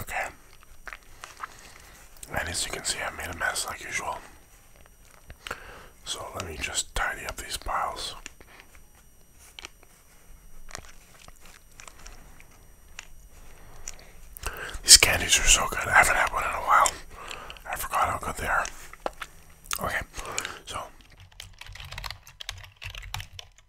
Okay. And as you can see, I made a mess like usual. So let me just tidy up these piles. These candies are so good. I haven't had one in a while. I forgot how good they are. Okay, so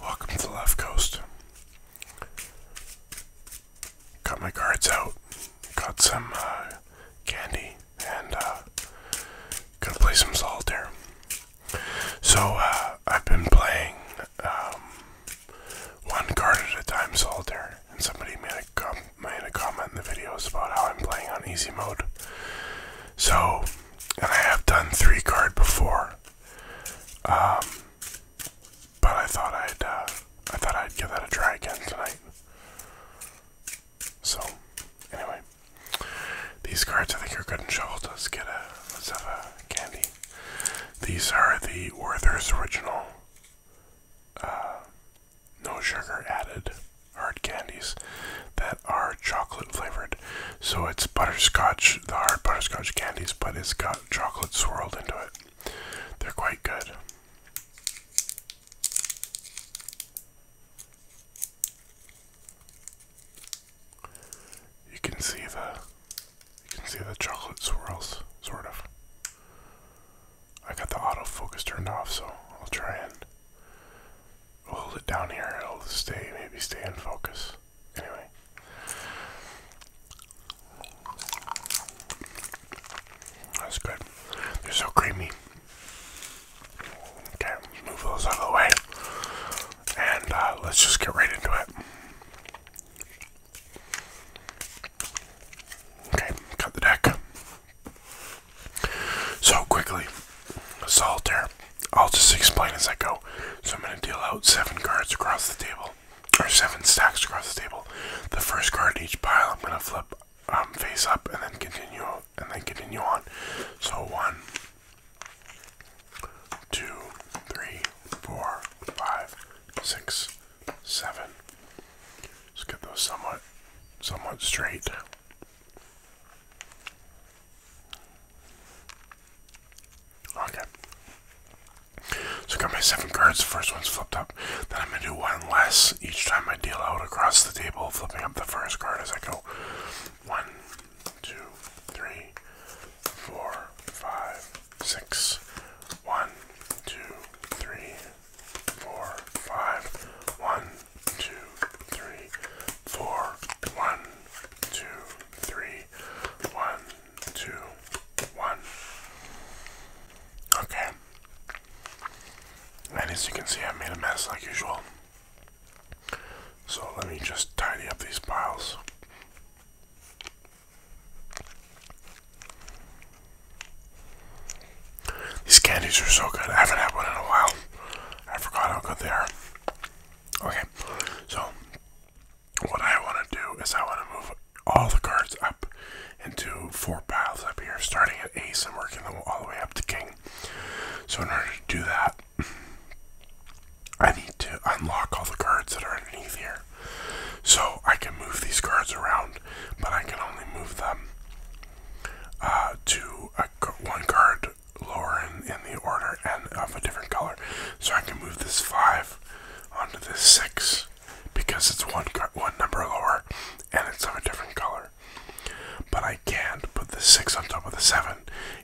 Welcome to the left coast. Got my cards out. Got some uh, candy and uh, gonna play some solitaire. So uh, I've been playing um, one card at a time solitaire, and somebody made a, made a comment in the videos about how I'm playing on easy mode. So, and I have done three card before, um, but I thought I'd uh, I thought I'd give that a try again tonight. So, anyway, these cards I think are good and shoveled. Let's get a let's have a candy. These are the Werther's original, uh, no sugar added hard candies that are chocolate flavored. So it's butterscotch, the hard butterscotch candies, but it's got chocolate swirled into it. They're quite good. You can see the you can see the chocolate swirls, sort of. I got the auto focus turned off, so I'll try and hold it down here. It'll stay, maybe stay in focus. Anyway. That's good. They're so creamy. Okay, move those out of the way. And uh, let's just get right into it. Okay, cut the deck. So quickly, a solitaire. I'll just explain as I go. So I'm going to deal out seven cards across the table, or seven stacks across the table. The first card in each pile I'm going to flip um, face up and then continue and then continue on. So one, two, three, four, five, six, seven. Let's get those somewhat, somewhat straight. Okay. So I got my seven cards. The first one's flipped up. Then I'm going to do one less each time I deal out across the table, flipping up the first card as I go. One, two, three, four, five, six. One, two, three, four, five. One, two, three, four. One, two, three, one, two, one. Okay. And as you can see, I made a mess like usual. So let me just tidy up these piles. These candies are so good. I haven't had one in a while. I forgot how good they are. Okay, so what I want to do is I want to move all the cards up into four piles up here, starting at ace and working all the way up to king. So in order to do that, I need to unlock all the cards that are underneath here. So I can move these cards around, but I can only move them uh, to one card lower in, in the order and of a different color. So I can move this 5 onto this 6 because it's one, one number lower and it's of a different color. But I can't put the 6 on top of the 7.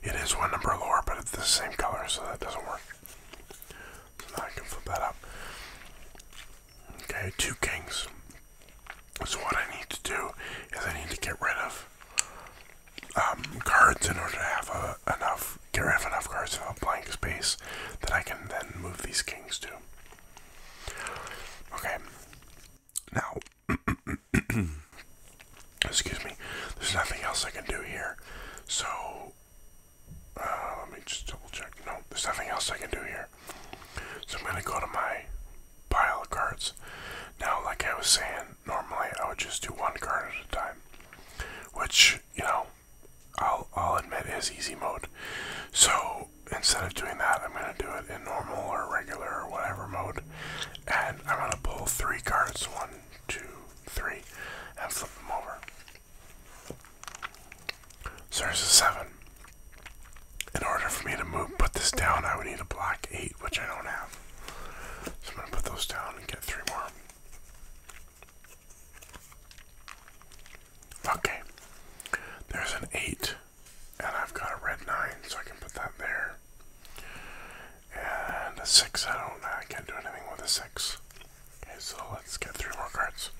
It is one number lower, but it's the same color, so that doesn't work. So now I can flip that up. Okay, two kings. So what I need to do is I need to get rid of um, cards in order to have a, enough, get rid of enough cards in a blank space that I can then move these kings to. Okay. Now, excuse me, there's nothing else I can do here. So, uh, let me just double check. No, there's nothing else I can do here. So I'm going to go to my pile of cards. Now, like I was saying, normally I would just do one card at a time which you know I'll I'll admit is easy mode. So instead of doing that, I'm gonna do it in normal or regular or whatever mode, and I'm gonna pull three cards: one, two, three, and flip them over. So there's a seven. In order for me to move, put this down, I would need a black eight, which I don't have. So I'm going to put those down and get three more. Okay, there's an 8, and I've got a red 9, so I can put that there. And a 6, I don't, I can't do anything with a 6. Okay, so let's get three more cards.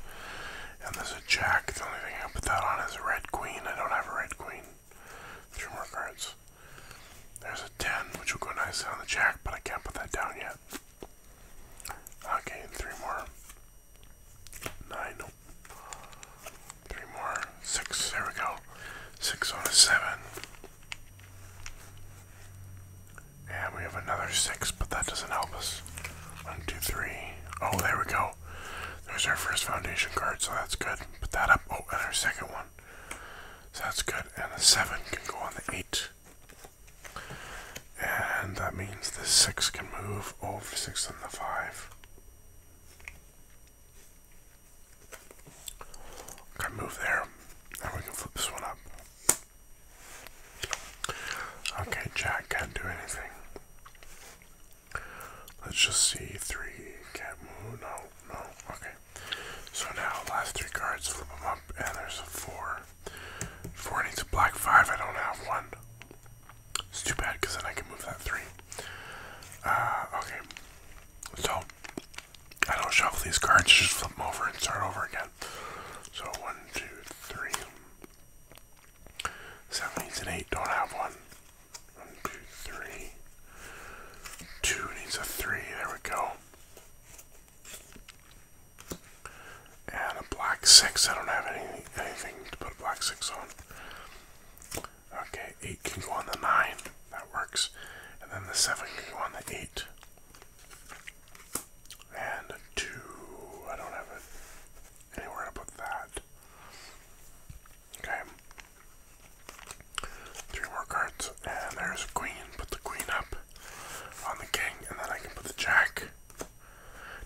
And there's a jack, the only thing I can put that on is a red queen, I don't have a red queen. Three more cards. There's a 10, which will go nicely on the jack, but I can't put that down yet. Okay, three more. Nine, Three more. Six, there we go. Six on a seven. And we have another six, but that doesn't help us. One, two, three. Oh, there we go. There's our first foundation card, so that's good. Put that up. Oh, and our second one. So that's good. And the 7 can go on the 8. And that means the 6 can move over 6 and the 5. Can move there. And we can flip this one up. Okay, Jack can't do anything. Let's just see. Three can't move. No, no. Okay. So now last three cards, flip them up, and there's a four. Four needs a black five. I don't have one. It's too bad because then I can move that three. Uh, okay. So I don't shuffle these cards. Just flip them over and start over again. So one, two, three. Seven needs an eight. Don't have one. One, two, three. Two needs a three. There we go. And a black six. I don't have any, anything to put a black six on. Okay, eight can go on the nine. That works. And then the seven can go on the eight. And a two. I don't have it anywhere to put that. Okay. Three more cards, and there's a queen. Put the queen up on the king, and then I can put the jack.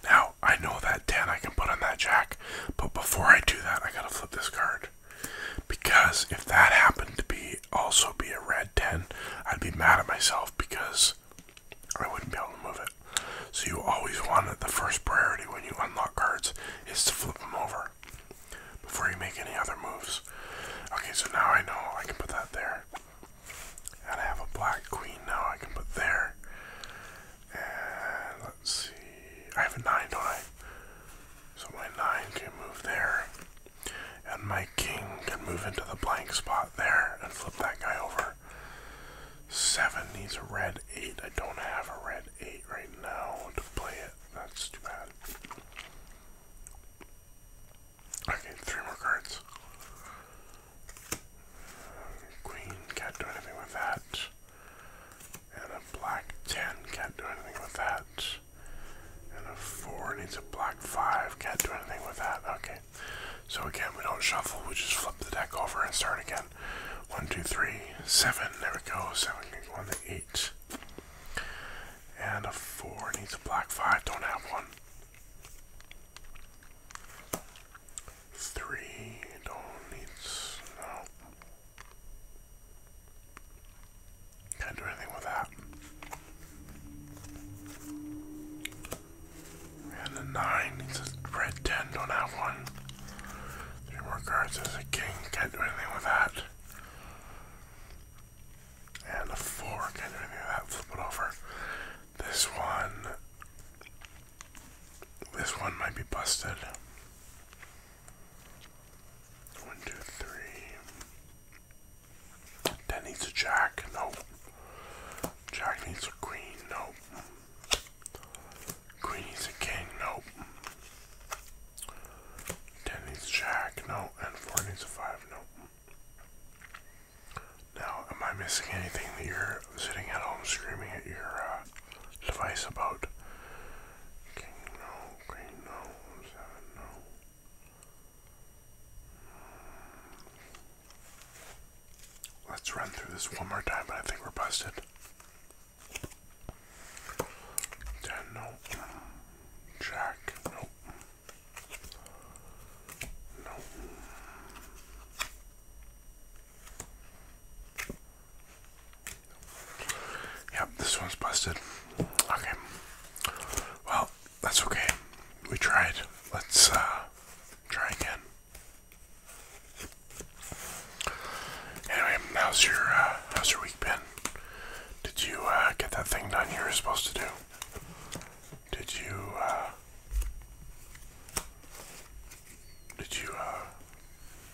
Now, I know that 10 I can put on that jack, but before I do that, I gotta flip this card. Because if that happened to be also be a red 10, I'd be mad at myself because I wouldn't be able to move it. So you always want it, the first priority when you unlock cards is to flip them over before you make any other moves. Okay, so now I know I can put that there. And I have a black queen now I can put there. And let's see. I have a nine, don't I? So my nine can move there. And my king can move into the blank spot there and flip that guy over. Seven needs a red eight. I don't have a red eight right now to play it. That's too bad. Okay, three more cards. Queen, can't do anything with that. And a black 10, can't do anything with that. And a 4 needs a black 5, can't do anything with that. Okay. So again, we don't shuffle, we just flip the deck over and start again. One, two, three, seven. There we go. Seven can go on the eight. And a four needs a black five, don't have one. Three don't need no. Can't do anything with that. And a nine needs a red ten, don't have one. Three more cards as a king, can't do anything with that and a fork. I didn't that. Flip it over. This one. This one might be busted. One, two, three. That needs a jack. No. Jack needs a queen. No. Queen needs a king. No. Ten needs jack, no, and four needs a five, no. Now, am I missing anything that you're sitting at home screaming at your uh, device about? King, no, queen, no, seven, no. Let's run through this one more time, but I think we're busted. Ten, Jack, no. No. Yep, this one's busted. Okay. Well, that's okay. We tried. Let's uh, try again. Anyway, how's your uh, how's your week been? Did you uh, get that thing done you were supposed to do? Did you, uh, did you, uh,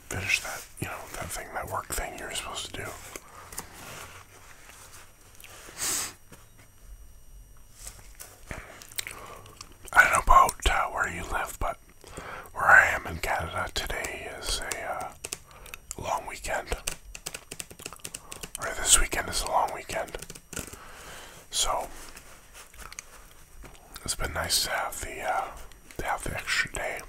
finish that, you know, that thing, that work thing you were supposed to do? I don't know about where you live, but where I am in Canada today is a, long weekend. Right, this weekend is a long weekend. So it's been nice to have the uh, have the extra day.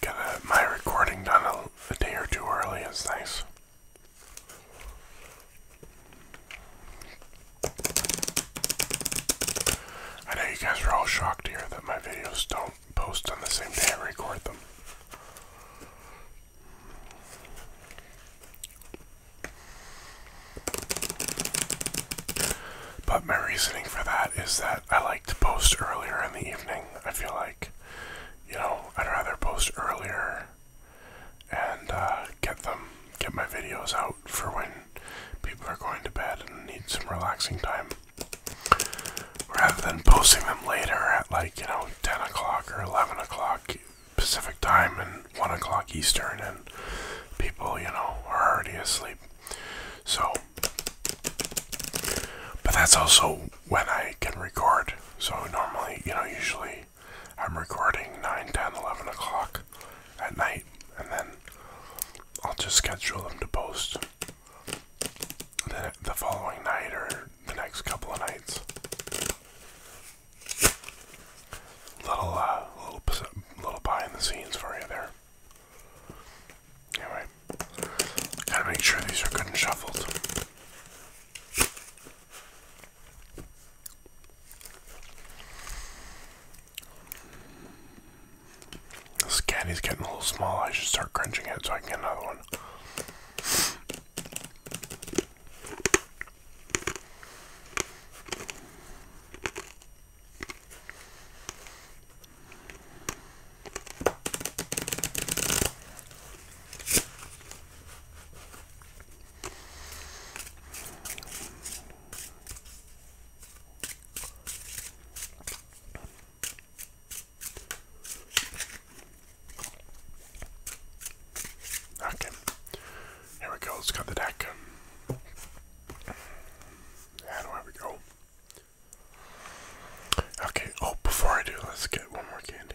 Get my recording done a, day or two early is nice. I know you guys are all shocked here that my videos don't post on the same day I record them. But my reasoning for that is that I like to post earlier in the evening. I feel like, you know, I'd rather post earlier and uh, get them, get my videos out for when people are going to bed and need some relaxing time. Rather than posting them later at like, you know, 10 o'clock or 11 o'clock Pacific time and 1 o'clock Eastern, and people, you know, are already asleep. So, but that's also when I can record. So, normally, you know, usually I'm recording 9, 10, 11 o'clock at night, and then I'll just schedule them to post the, following night or the next couple of nights. Little, uh, little, little behind the scenes for you there. Anyway, gotta make sure these are good and shuffled. This caddy's getting a little small. I should start crunching it so I can get another one. Okay. Here we go. Let's cut the deck. And away we go. Okay. Oh, before I do, let's get one more candy.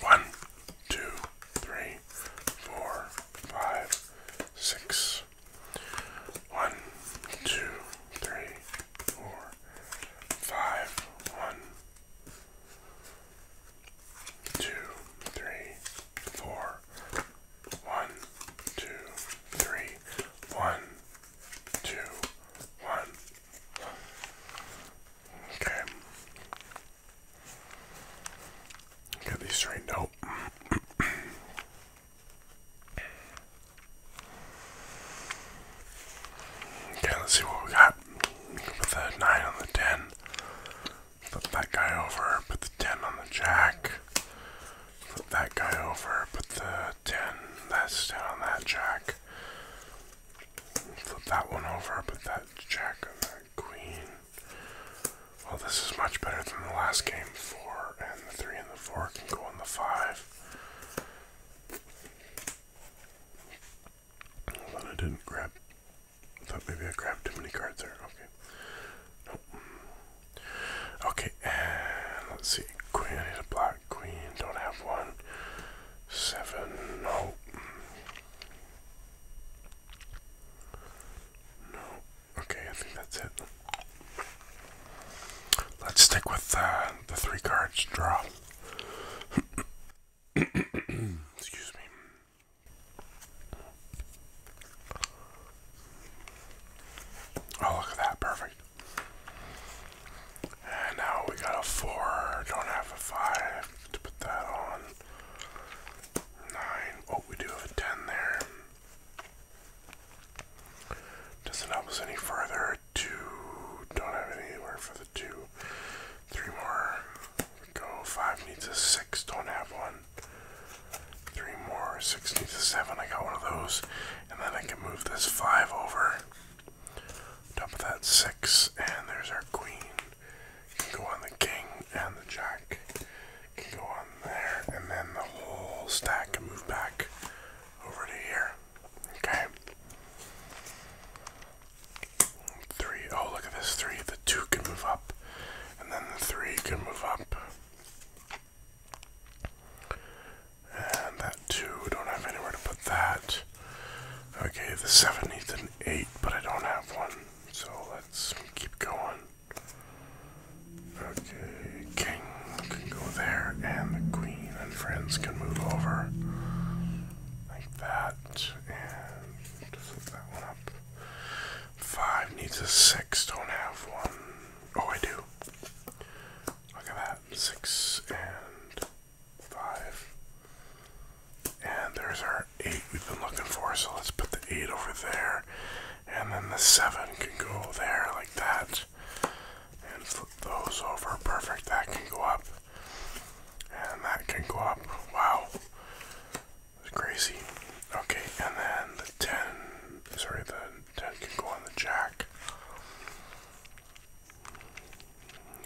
one, two, three, four, five, six. One, two, three, four, five, one, two, three, four, one, two, three. One, two, one. Okay. Get these straightened out. Okay, let's see what we got. With the nine on the ten. Put that guy over, put the 10 on the jack. Put that guy over, put the 10, that's 10 on that jack. Flip that one over, put that jack on that queen. Well, this is much better than the last game. 4 and the 3 and the 4 can go on the 5. Although I didn't thought maybe I grabbed too many cards there. Okay. Nope. Okay, and let's see. Queen, I need a black queen. Don't have one. Seven. No. No. Okay, I think that's it. Let's stick with uh, the three cards draw. Excuse me. Oh, look at that. Perfect. And now we got a 4. Don't have a 5 to put that on. 9. Oh, we do have a 10 there. Doesn't help us any further. 2. Don't have anywhere for the 2. 3 more. go. 5 needs a 6. Don't have one. Three more, six needs seven. I got one of those. And then I can move this five over. Top of that six. And there's our queen. Can go on the king and the jack. Can go on there. And then the whole stack can move back over to here. Okay. Three. Oh, look at this. Three. The two can move up. And then the three can move up. And that two. Don't have anywhere to put that. Okay, the seven needs an eight, but I don't have one. So let's keep going. Okay, king can go there, and the queen and friends can move over like that, and flip that one up. Five needs a six. Don't have one. Oh, I do. Look at that. Six and five. And there's our eight we've been looking for. So let's put the eight over there. And then the seven can go there like that. And flip those over. Perfect. That can go up. And that can go up. Wow. It's crazy. Okay, and then the 10, sorry, the 10 can go on the jack.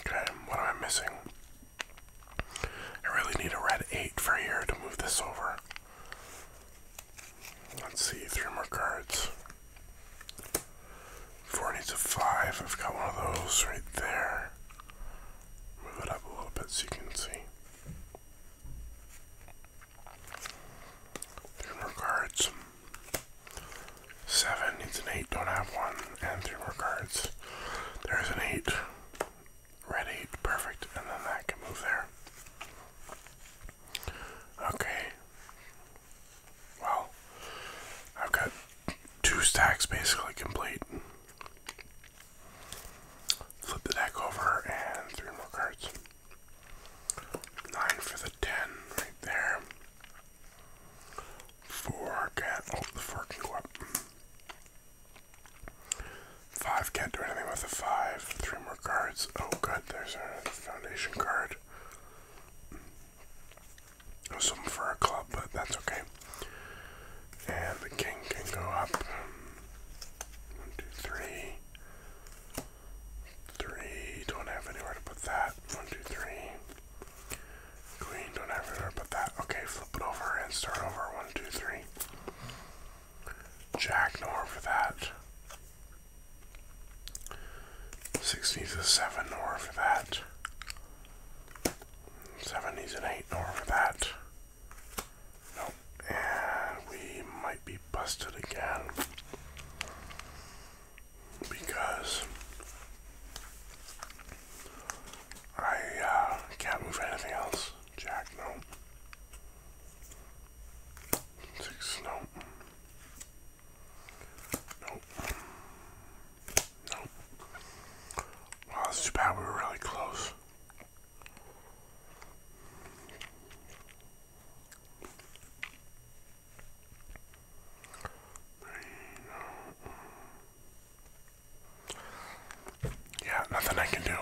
Okay, what am I missing? I really need a red 8 for here to move this over. Let's see, three more cards. Four needs a five. I've got one of those right there. Move it up a little bit so you can see. Three more cards. Seven needs an eight, don't have one, and three more cards. There's an eight. Red eight, perfect, and then that can move there. Okay. Well, I've got two stacks basically complete. Flip the deck over and three more cards. Nine for the ten right there. Four cat. Oh, the four can go up. Five can't do anything with a five. Three more cards. Oh, good. There's a foundation card. Something for a club, but that's okay. And the king can go up. One, two, three. Three. Don't have anywhere to put that. One, two, three. Queen, don't have anywhere to put that. Okay, flip it over and start over. One, two, three. Jack, nowhere for that. 16 a 7, nowhere for that. 7 is an 8, nowhere for that. Nope. And we might be busted again. Because I uh, can't move anything else. Jack, no. Six, no. Nope. Nope. Wow, that's too bad we were really close. Yeah, nothing I can do.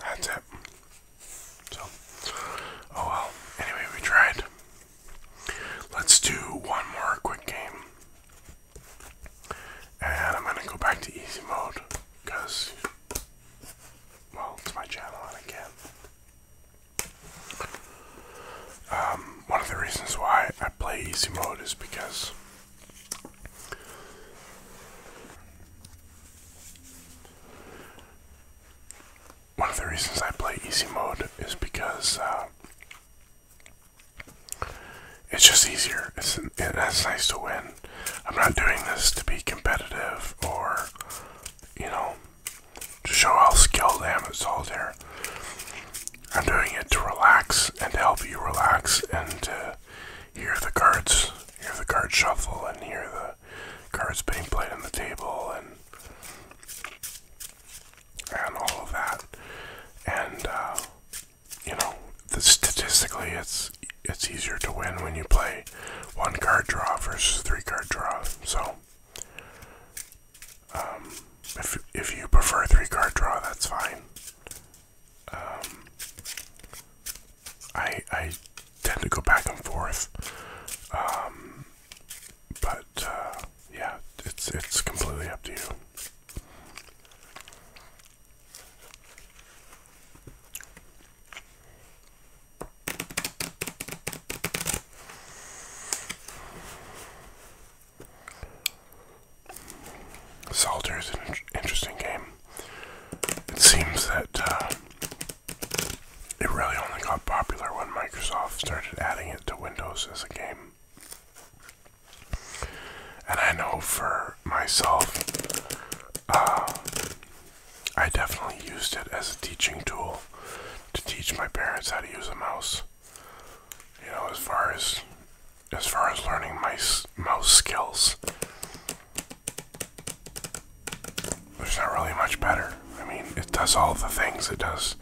That's it. So, oh well. Anyway, we tried. Let's do one more quick game. And I'm gonna go back to easy mode because, well, it's my channel and I can. Um, one of the reasons why I play easy mode is because one of the reasons I play easy mode is because uh, it's just easier. It's it, nice to win. I'm not doing this to be competitive or, you know, to show how skilled I am at solitaire. I'm doing it to relax and to help you relax and to hear the cards, hear the card shuffle and hear the cards being played on the table and and all of that. And uh, you know, statistically, it's it's easier to win when you play one card draw versus three card draw. So, um, if if you prefer three card draw, that's fine. Um, I I tend to go back and forth, um, but uh, yeah, it's it's completely up to you. Salter is an interesting game. It seems that uh, it really only got popular when Microsoft started adding it to Windows as a game. And I know for myself, uh, I definitely used it as a teaching tool to teach my parents how to use a mouse. You know, as far as as far as learning my mouse skills, there's not really much better. I mean, it does all the things. It does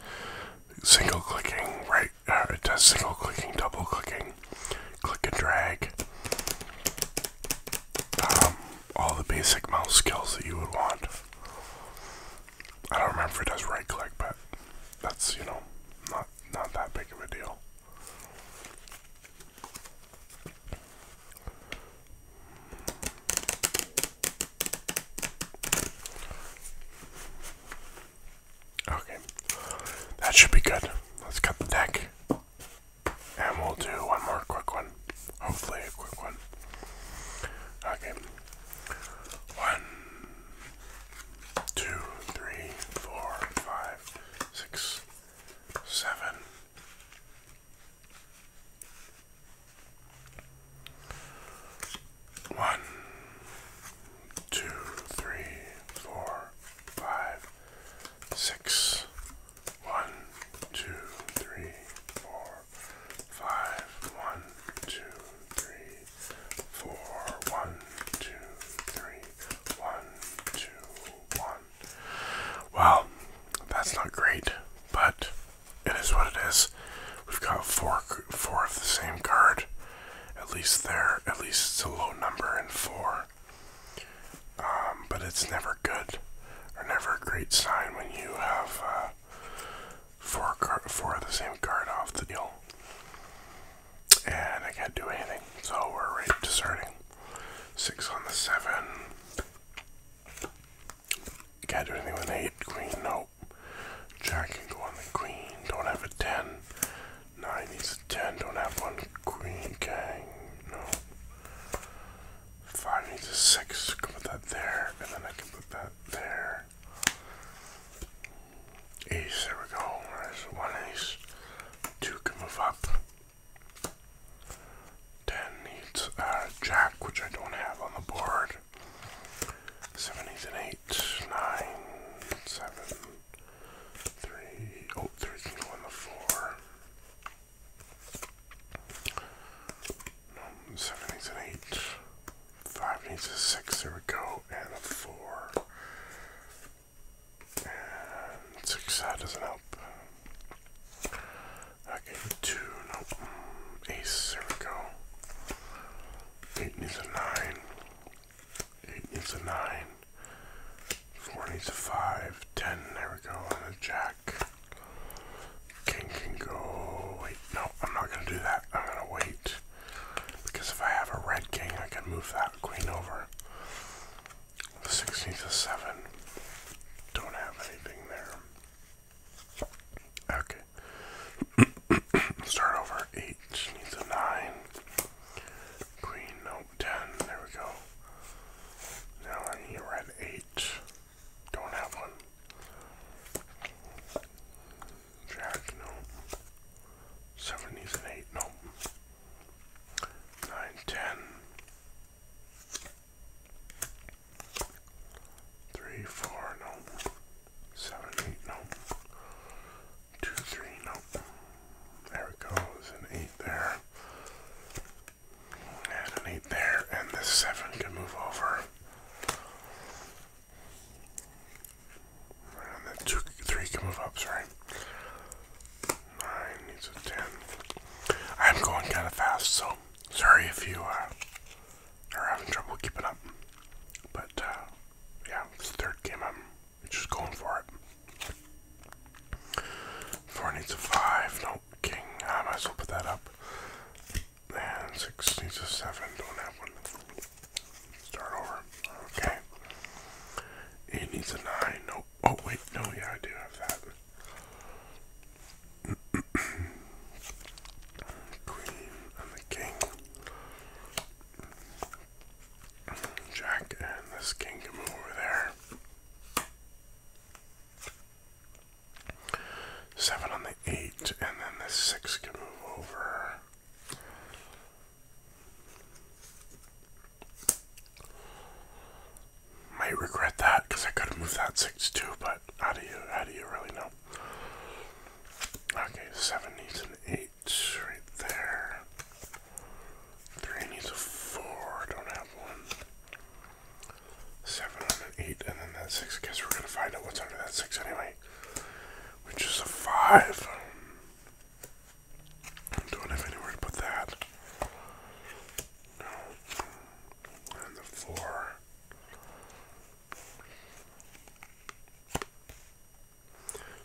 single clicking, right uh, it does single clicking, double clicking, click and drag, um, all the basic mouse skills that you would want. I don't remember if it does right click, but that's, you know, not, not that big of a deal. Okay, that should be good. Let's cut the deck. And we'll do one more quick one. Hopefully, a quick one. Okay. One, two, three, four, five, six, seven. One, two, three, four, five, six. One, two, three, four, five. One, two, three, four. One, two, three. One, two, one. Well, that's not great, but it is what it is. We've got four, four of the same card. At least there, at least it's a low number in four. Um, but it's never good or never a great sign when you have uh, four card, four of the same card off the deal. And I can't do anything, so we're right to starting. Six on the seven. Can't do anything with eight. Queen, nope. Jack can go on the queen. Don't have a ten. Nine needs a ten. Don't have one queen gang. No. Five needs a six. put that there, and then I can put that there. Ace. There we go. There's one ace. Two can move up. Ten needs a uh, jack, which I don't have on the board. Seven needs an eight. Nine. Seven. Three, oh, three can go on the four. Um, seven needs an eight. Five needs a six. There we go. And a four. And six. That doesn't help. Okay, two. Nope. Ace. There we go. Eight needs a nine. 8 needs a 9, 4 needs a 5, 10, there we go, On a jack. King can go, wait, no, I'm not going to do that, I'm going to wait. Because if I have a red king, I can move that queen over. The 6 needs a 7, don't have anything there. Okay. Start over. Eight needs a nine. Green, nope, 10. There we go. Now I need red 8. Don't have one. Jack, nope. 70s and 8, No. 9, 3, 4, no. 7, 8, no two, three, nope. There it goes, an eight there. And an eight there, and this seven can move over. And then two, three can move up, sorry. Nine needs a ten. I'm going kind of fast, so sorry if you uh, are having trouble keeping up. But, uh, yeah, it's the third game I'm just going for it. Four needs a five. No king. I might as well put that up. And six needs a seven. Don't have one. Start over. Okay. Eight needs a nine. No. Oh wait. No. Yeah, I do have that. Queen and the king. Jack and this king can move over there. Seven on the eight, and then the six can move over. Might regret that because I could have moved that six too, but how do you how do you really know? Okay, seven needs an eight. It's right there. Three needs a four. Don't have one. Seven on an eight, and then that six. I guess we're gonna find out what's under that six anyway, which is a five. Don't have anywhere to put that. No. And the four.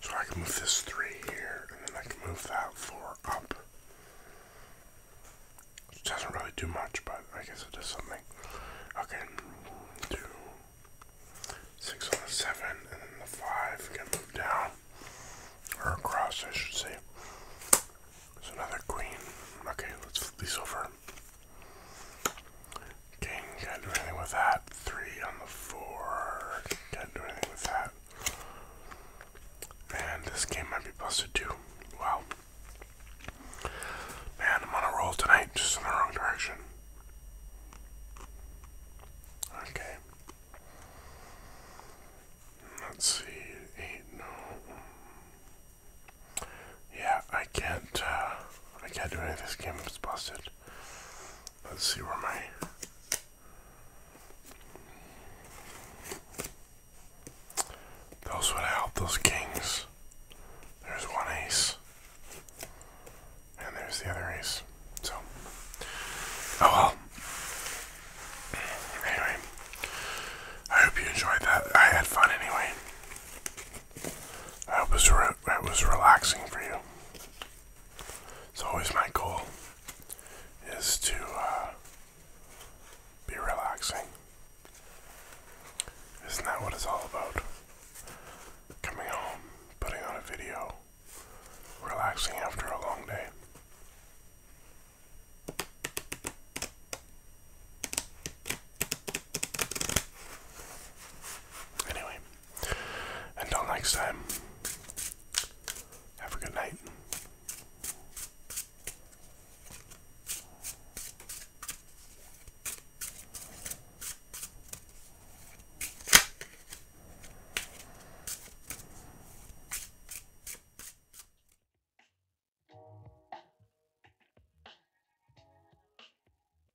So I can move this three here, and then I can move that four up. It doesn't really do much, but I guess it does something. Okay, two, six on the seven, and then the five can move down, or across, I should say. There's another queen. Okay, let's flip these over. King can't do anything with that. Three on the four. Can't do anything with that. And this game might be busted too. Wow. Man, I'm on a roll tonight, just in the wrong direction. Okay. Let's see. Eight, no. Yeah, I can't, uh, I can't do anything. this game. It's busted. Let's see where my those would help those kings. There's one ace. And there's the other ace. So oh well. Anyway. I hope you enjoyed that. I had fun anyway. I hope it was, it was relaxing for you. It's always my goal is to uh, be relaxing. Isn't that what it's all about? Coming home, putting on a video, relaxing after a long day. Anyway, until next time, have a good night.